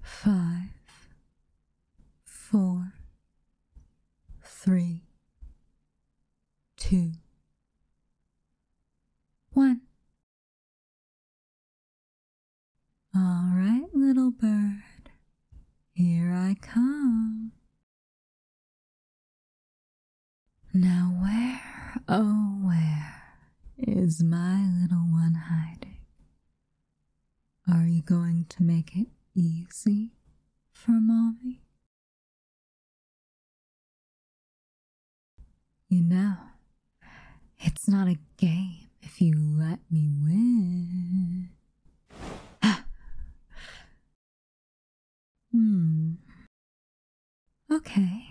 five, four, three, two, one. All right, little bird, here I come. Now, where, oh, where is my little one hiding? Are you going to make it easy for mommy? You know, it's not a game if you let me win. hmm. Okay.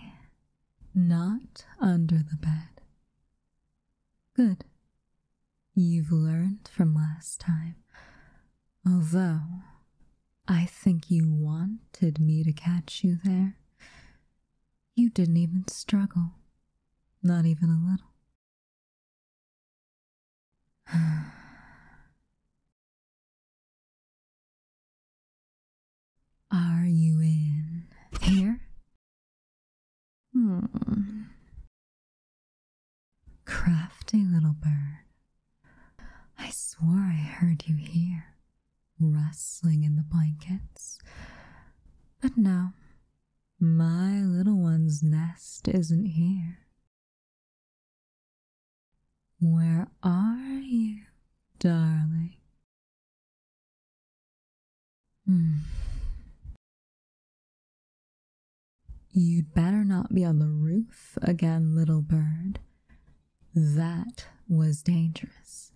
Not under the bed. Good. You've learned from last time. Although, I think you wanted me to catch you there. You didn't even struggle. Not even a little. Are you in here? Hmm. Crafty little bird. I swore I heard you here, rustling in the blankets. But no, my little one's nest isn't here. Where are you, darling? Hmm. You'd better not be on the roof again, little bird. That was dangerous.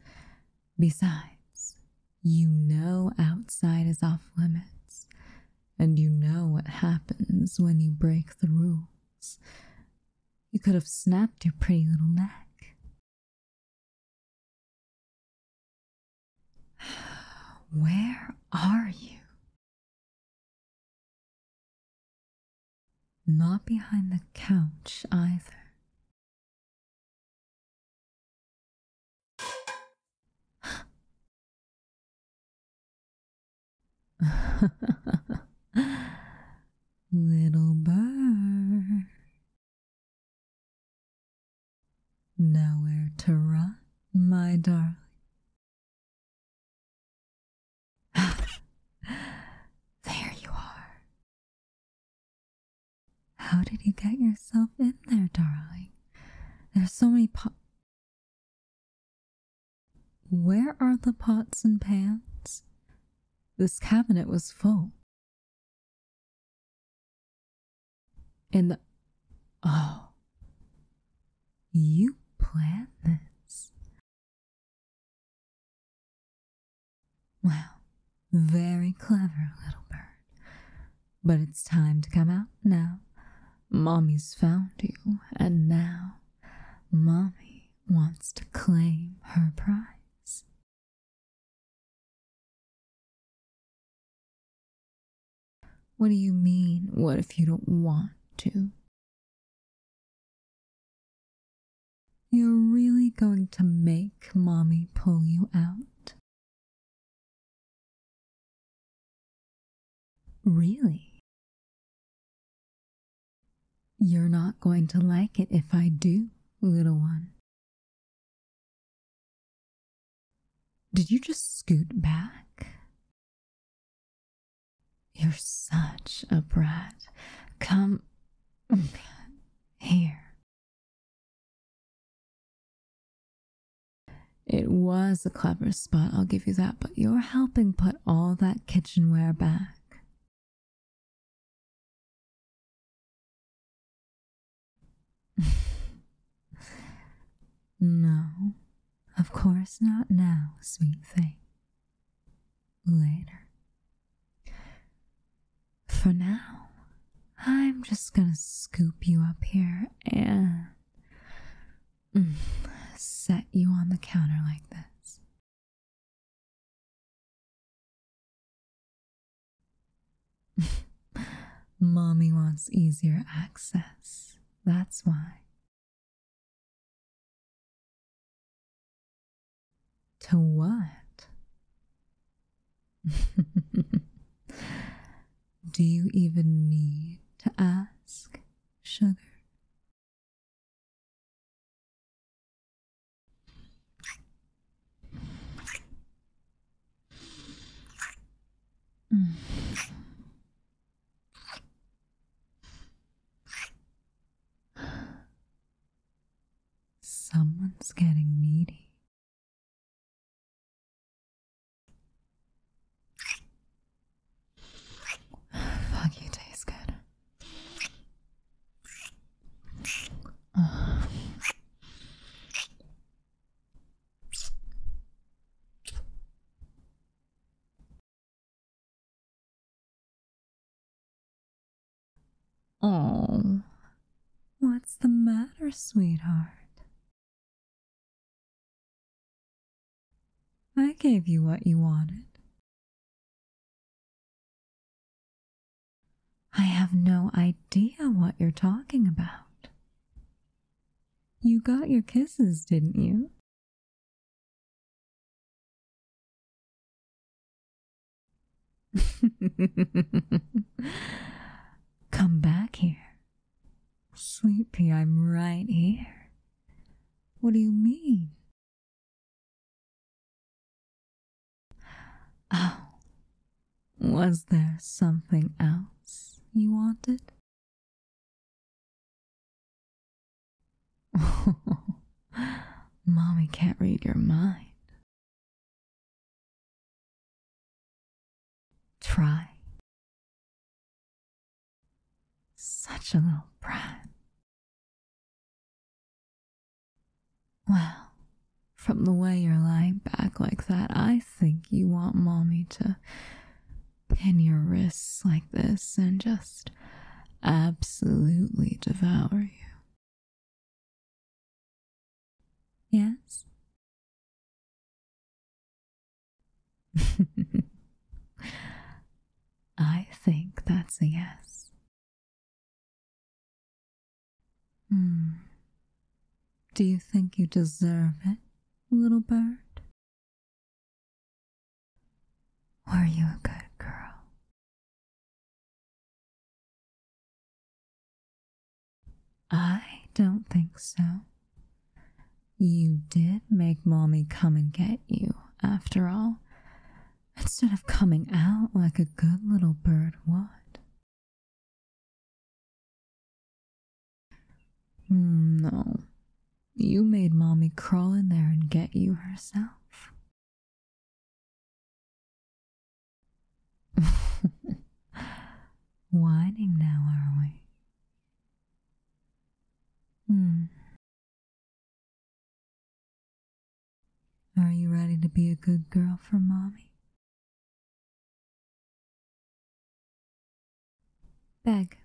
Besides, you know outside is off limits, and you know what happens when you break the rules. You could have snapped your pretty little neck. Where are you? Not behind the couch either. Little bird, Nowhere to run, my darling. there you are. How did you get yourself in there, darling? There's so many pots. Where are the pots and pans? This cabinet was full. And oh, you plan this. Wow, very clever little bird. But it's time to come out now. Mommy's found you, and now Mommy wants to claim her prize. What do you mean, what if you don't want to? You're really going to make mommy pull you out? Really? You're not going to like it if I do, little one. Did you just scoot back? You're such a brat. Come here. It was a clever spot, I'll give you that, but you're helping put all that kitchenware back no, of course not now, sweet thing. Later. For now, I'm just gonna scoop you up here and mm, set you on the counter like this. Mommy wants easier access, that's why. To what? Do you even need to ask, sugar? Mm. Someone's getting needy. Fuck, you good. Oh, what's the matter, sweetheart? I gave you what you wanted. I have no idea what you're talking about. You got your kisses, didn't you? Come back here. sleepy. I'm right here. What do you mean? Oh, was there something else you wanted? Mommy can't read your mind. Try. Such a little brat. Well, from the way you're lying back like that, I think you want mommy to pin your wrists like this and just absolutely devour you. Yes? I think that's a yes. Hmm. Do you think you deserve it, little bird? Are you a good girl? I don't think so. You did make Mommy come and get you, after all, instead of coming out like a good little bird what? Hmm, no, you made Mommy crawl in there and get you herself. Whining now, are we? Hmm. Are you ready to be a good girl for mommy? Beg.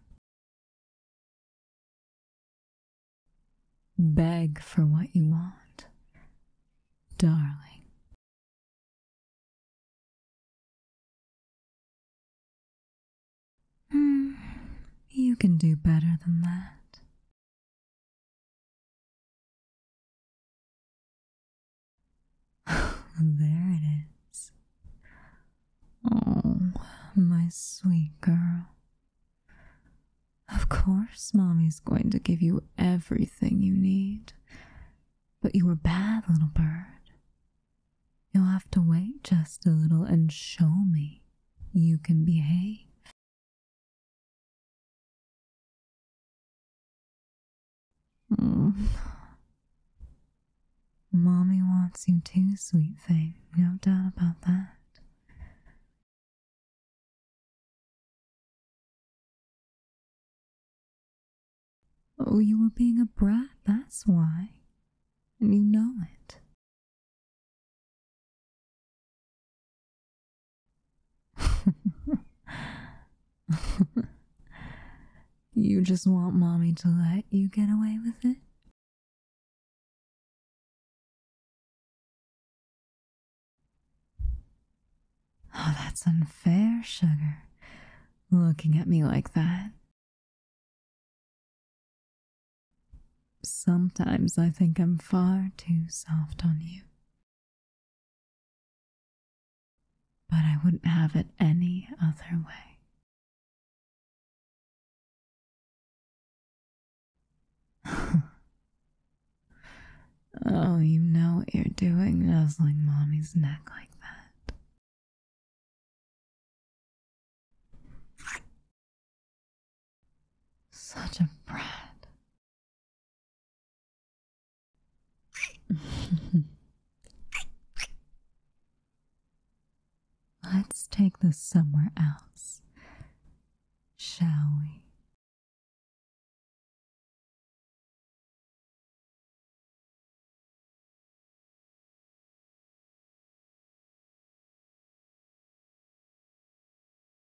Beg for what you want, darling. Hmm. you can do better than that. there it is. Oh, my sweet girl. Of course, Mommy's going to give you everything you need. But you are bad, little bird. You'll have to wait just a little and show me you can behave. Mm. Mommy wants you too, sweet thing. No doubt about that. Oh, you were being a brat, that's why. And you know it. you just want mommy to let you get away with it? Oh, that's unfair, sugar. Looking at me like that. Sometimes I think I'm far too soft on you. But I wouldn't have it any other way. oh, you know what you're doing, nuzzling mommy's neck like that. Such a brat. Let's take this somewhere else, shall we?